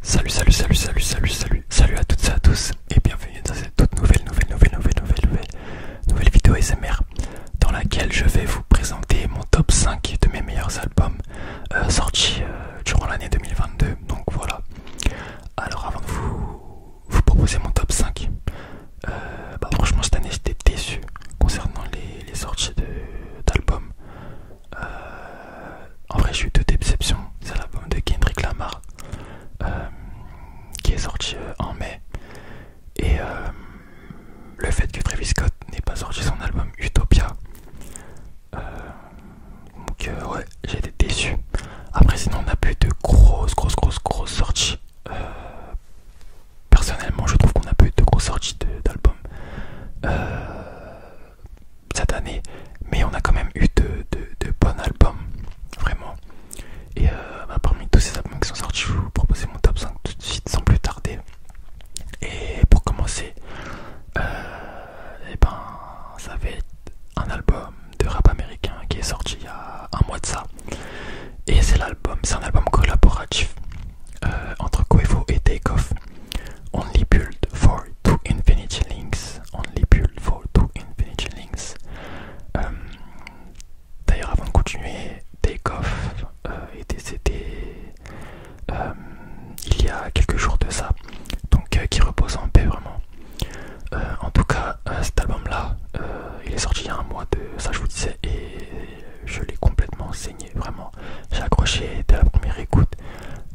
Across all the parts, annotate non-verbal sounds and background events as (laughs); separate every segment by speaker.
Speaker 1: Salut, salut, salut, salut, salut, salut, salut à toutes et à tous et bienvenue dans cette toute nouvelle, nouvelle, nouvelle, nouvelle, nouvelle, nouvelle, nouvelle vidéo SMR dans laquelle je vais vous présenter mon top 5 de mes meilleurs albums euh, sortis euh, durant l'année 2022. Donc voilà. Alors avant de vous, vous proposer mon top 5, euh, bah, franchement cette année j'étais déçu concernant les sorties d'albums. Euh, en vrai, j'ai eu deux déceptions. C'est l'album de Kendrick Lamar euh, qui est sorti euh, en mai. Et le fait que Travis Scott n'ait pas sorti son album Utopia. donc, ouais, j'ai été déçu. Après, sinon, on a plus de grosses, grosses, grosses, grosses sorties. personnellement, je trouve qu'on a plus de grosses sorties d'albums cette année, mais on a quand même eu de, bons albums, vraiment. Et euh, bah, parmi tous ces albums qui sont sortis, je vous propose mon top 5 tout de suite sans plus tarder. Et pour commencer, et euh, eh ben, ça va être un album de rap américain qui est sorti il y a un mois de ça. Et c'est l'album, c'est un album collaboratif. Euh, entre Quavo et Takeoff. Only built for two infinity links. Only built for two infinity links. Euh, d'ailleurs, avant de continuer, Takeoff euh, était décédé euh, il y a quelques jours de ça, donc qui repose en paix vraiment. en tout cas, cet album là, il est sorti il y a un mois de ça, je vous disais, je l'ai complètement saigné, vraiment. J'ai accroché dès la première écoute.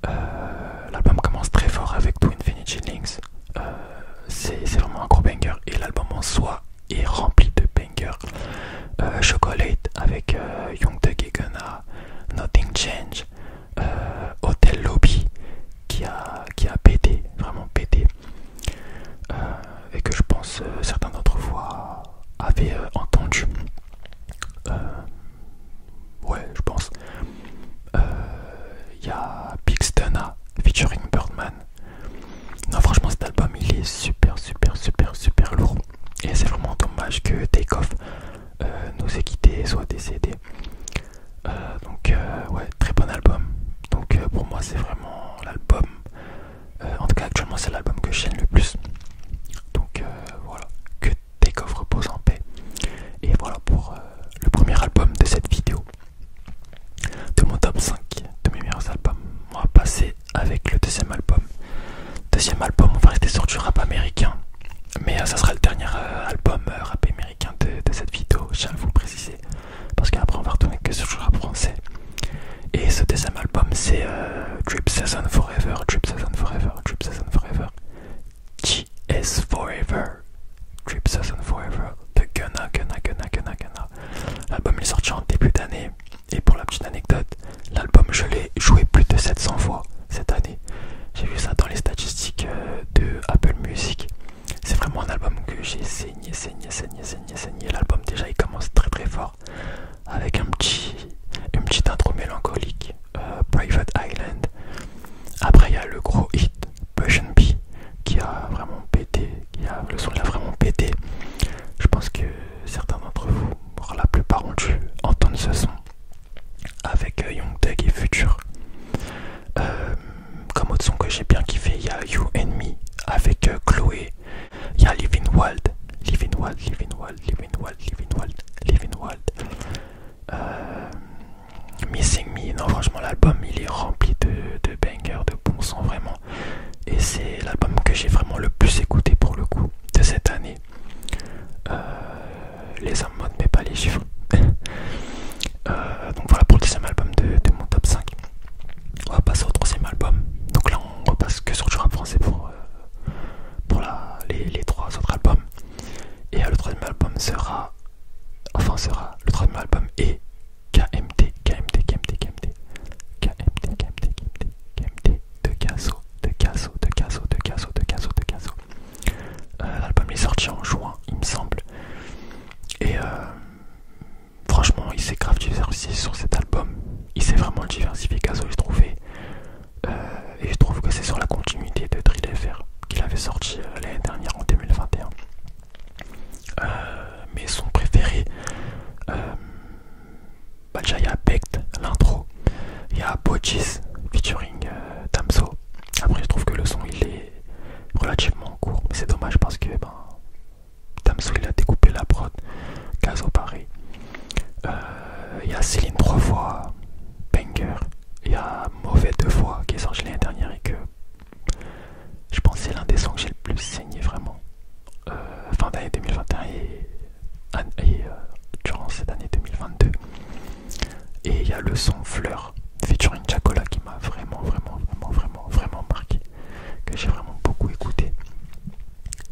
Speaker 1: Euh, l'album commence très fort avec To Infinity Links. Euh, c'est vraiment un gros banger et l'album en soi est rempli de bangers. Euh, Chocolate avec Young Thug et Nothing Change, Hotel Lobby qui a, qui a pété, vraiment pété et que je pense euh, certains d'entre vous avaient euh, entendu. Euh, ouais, je pense. Il y a Pixtona featuring Birdman. Non, franchement, cet album il est super, super, super, super lourd. Et c'est vraiment dommage que Takeoff nous ait quittés et soit décédé. donc, ouais, très bon album. Donc, pour moi, c'est vraiment l'album euh, en tout cas, actuellement, c'est l'album que j'aime le plus. Donc euh, voilà, que tes coffres posent en paix. Et voilà pour euh, le premier album de cette vidéo. De mon top 5 de mes meilleurs albums. On va passer avec le deuxième album. Deuxième album, on va rester sur du rap américain. Mais ça sera le dernier album rap américain de, cette vidéo, je tiens à vous préciser parce qu'après on va retourner que sur le français. Et ce deuxième album c'est euh, Drip Season Forever, Drip Season Forever, Drip Season Forever, GS Forever, Drip Season Forever, de Gunna, Gunna, Gunna, Gunna, Gunna. L'album est sorti en début d'année, et pour la petite anecdote, l'album je l'ai joué plus de 700 fois cette année. J'ai vu ça dans les statistiques euh, de Apple Music. C'est vraiment un album que j'ai saigné, saigné, saigné, saigné, saigné. L'album déjà il commence très très fort avec un petit, une petite intro mélancolique, euh, Private Island. Après il y a le gros hit, and B, qui a vraiment pété, qui le son il a vraiment pété. Je pense que certains d'entre vous, voire la plupart ont dû entendre ce son avec euh, Young Tech et Future. Euh, comme autre son que j'ai bien kiffé, il y a You and Me avec euh, Chloé. Il y a Living Wild. Living Wild, Living Wild, Living Wild, Living Wild, Living Wild. Euh, Missing Me. Non, franchement, l'album il est rempli de, de bangers, de bon sons vraiment. Et c'est l'album que j'ai vraiment le plus écouté pour le coup de cette année. Euh, les hommes mode, mais pas les chiffres. (laughs) Euh, donc voilà pour le deuxième album de, mon top 5. On va passer au troisième album. Donc là on repasse que sur du rap français pour, euh, pour les, trois autres albums. Et euh, le troisième album sera... Enfin sera... Le troisième album est KMT, KMT, KMT, KMT. KMT, KMT, KMT, De Casso, de Casso, de Casso, de Casso, de Casso, de L'album est sorti en juin il me semble. Et euh, franchement, il s'est grave diversifié sur cet album. Il s'est vraiment diversifié, que j'ai trouvé. Euh, et je trouve que c'est sur la continuité de Drill qu'il avait sorti euh, l'année dernière en 2021. mais son préféré, bah déjà il y a Becht, l'intro, il y a Bogis featuring après, je trouve que le son il est relativement court, mais c'est dommage parce que ben, Damso il a découpé la prod, Caso Paris. Euh, il y a Céline trois fois, Banger, il y a Mauvais deux fois qui est sorti l'année dernière et que je pense c'est l'un des sons que j'ai le plus saigné vraiment euh, fin d'année 2021 et, euh, durant cette année 2022. Et il y a le son Fleur featuring Jacola qui m'a vraiment, vraiment, vraiment, vraiment, vraiment marqué, que j'ai vraiment beaucoup écouté.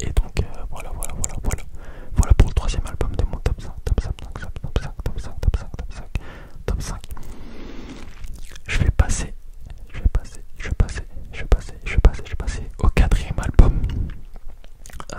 Speaker 1: Et donc euh, voilà, voilà, voilà, voilà. Voilà pour le troisième album de mots top 5, top 5, top 5, top 5, top 5, top 5, top 5, top 5. Je vais passer, je vais passer, je vais passer, je vais passer, je vais passer, je vais passer au quatrième album. Euh,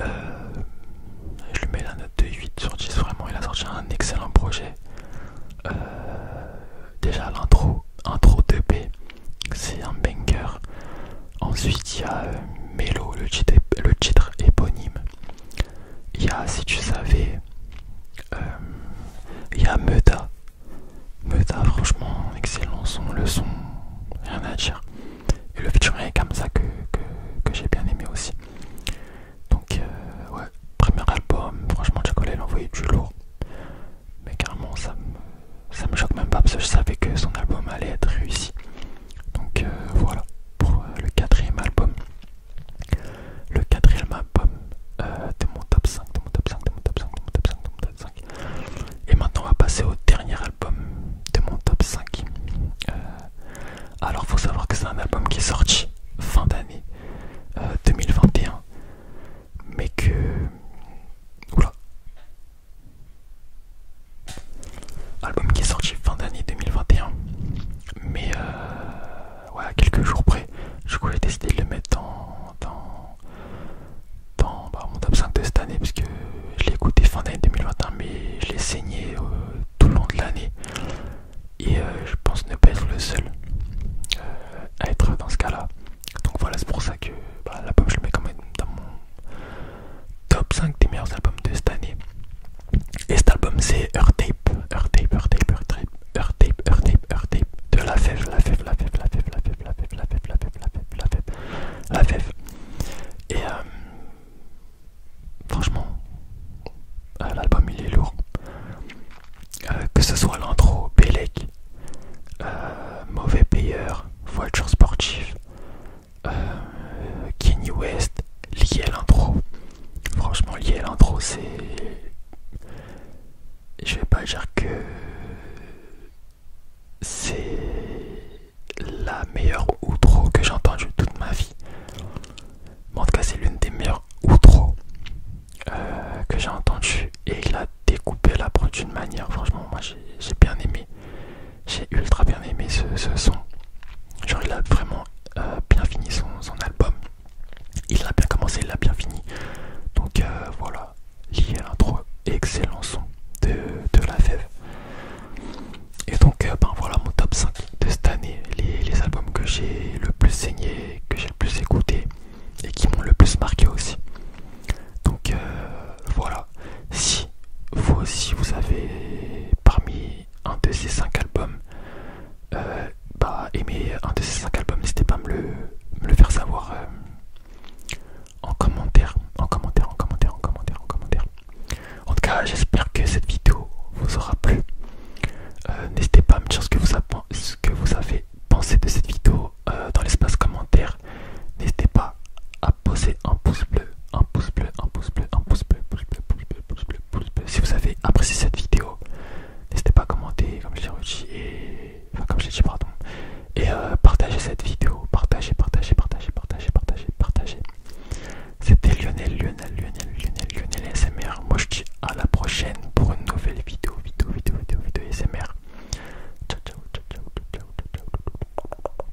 Speaker 1: euh, je lui mets la note de 8 sur 10, vraiment il a sorti un excellent projet. Euh, déjà l'intro, intro 2B, c'est un banger. Ensuite il y a euh, Melo, le titre, éponyme. Il y a si tu savais, il y a Meuta. Meuta franchement excellent son, le son, rien à dire. Et le featuring est comme ça que, j'ai bien aimé aussi. Donc, euh, ouais, premier album, franchement, Chocolat il envoyé du lourd. Mais carrément, ça me, me choque même pas parce que je savais que son album allait être réussi. Donc, euh, voilà pour euh, le quatrième album. Le quatrième album euh, de mon top 5, de mon top 5, de mon top 5, de mon top 5, et maintenant, on va passer au dernier album de mon top 5. Euh, alors, faut savoir que c'est un album qui est sorti fin d'année 2021, euh, mais que. Oula! Album qui est sorti fin d'année 2021, mais euh, quelques jours près, du coup, j'ai décidé de le mettre dans, dans bah, mon top 5 de cette année parce que je l'ai écouté fin d'année 2021 mais je l'ai saigné euh, tout le long de l'année et euh, je pense ne pas être le seul euh, à être dans ce cas là donc voilà c'est pour ça que bah, l'album je le mets quand même dans mon top 5 des meilleurs albums de cette année et cet album c'est Earth Tape Earth Tape Earth Tape Earth Tape Tape Tape de la fève la fève la fève la fève la fève la fève, la fève, la la la la Et euh, franchement, euh, l'album il est lourd. Euh, que ce soit l'intro, Belek, Mauvais Payeur, Voiture Sportif, Kenny West, lié à l'intro. Franchement, lié à l'intro, c'est je vais pas dire que c'est la meilleure outro que j'ai entendue toute ma vie. en tout cas, c'est l'une des meilleures outros euh, que j'ai entendues. Et il a découpé la preuve d'une manière. Franchement, moi j'ai bien aimé. J'ai ultra bien aimé ce, son. Genre, il a vraiment euh, bien fini son album. Il a bien commencé, il l'a bien fini. Donc euh, voilà, lié à l'intro, excellent son de, la fève. Et donc euh, ben voilà mon top 5 de cette année, les, albums que j'ai le plus saigné, que j'ai le plus écouté et qui m'ont le plus marqué aussi. Donc euh, voilà, si vous aussi vous avez parmi un de ces 5 albums aimer bah, un de ces cinq albums, n'hésitez pas à me le, faire savoir en commentaire, en commentaire, en commentaire, en commentaire, en commentaire. En tout cas, j'espère que cette vidéo vous aura plu. n'hésitez pas à me dire ce que vous, avez pensé de cette vidéo dans l'espace commentaire. N'hésitez pas à poser un pouce bleu, un pouce bleu, un pouce bleu, un pouce bleu, pouce bleu, pouce pouce bleu, pouce bleu, pouce bleu si vous avez apprécié cette vidéo. N'hésitez pas à commenter, comme j'ai dit, et... Enfin, comme je pardon. Et euh, partager cette vidéo. Partagez, partagez, partagez, partagez, partagez, partagez. C'était Lionel, Lionel, Lionel, Lionel, Lionel SMR. Moi, je dis à la prochaine pour une nouvelle vidéo, vidéo, vidéo, vidéo, vidéo SMR. Ciao, ciao, ciao, ciao, ciao, ciao, ciao.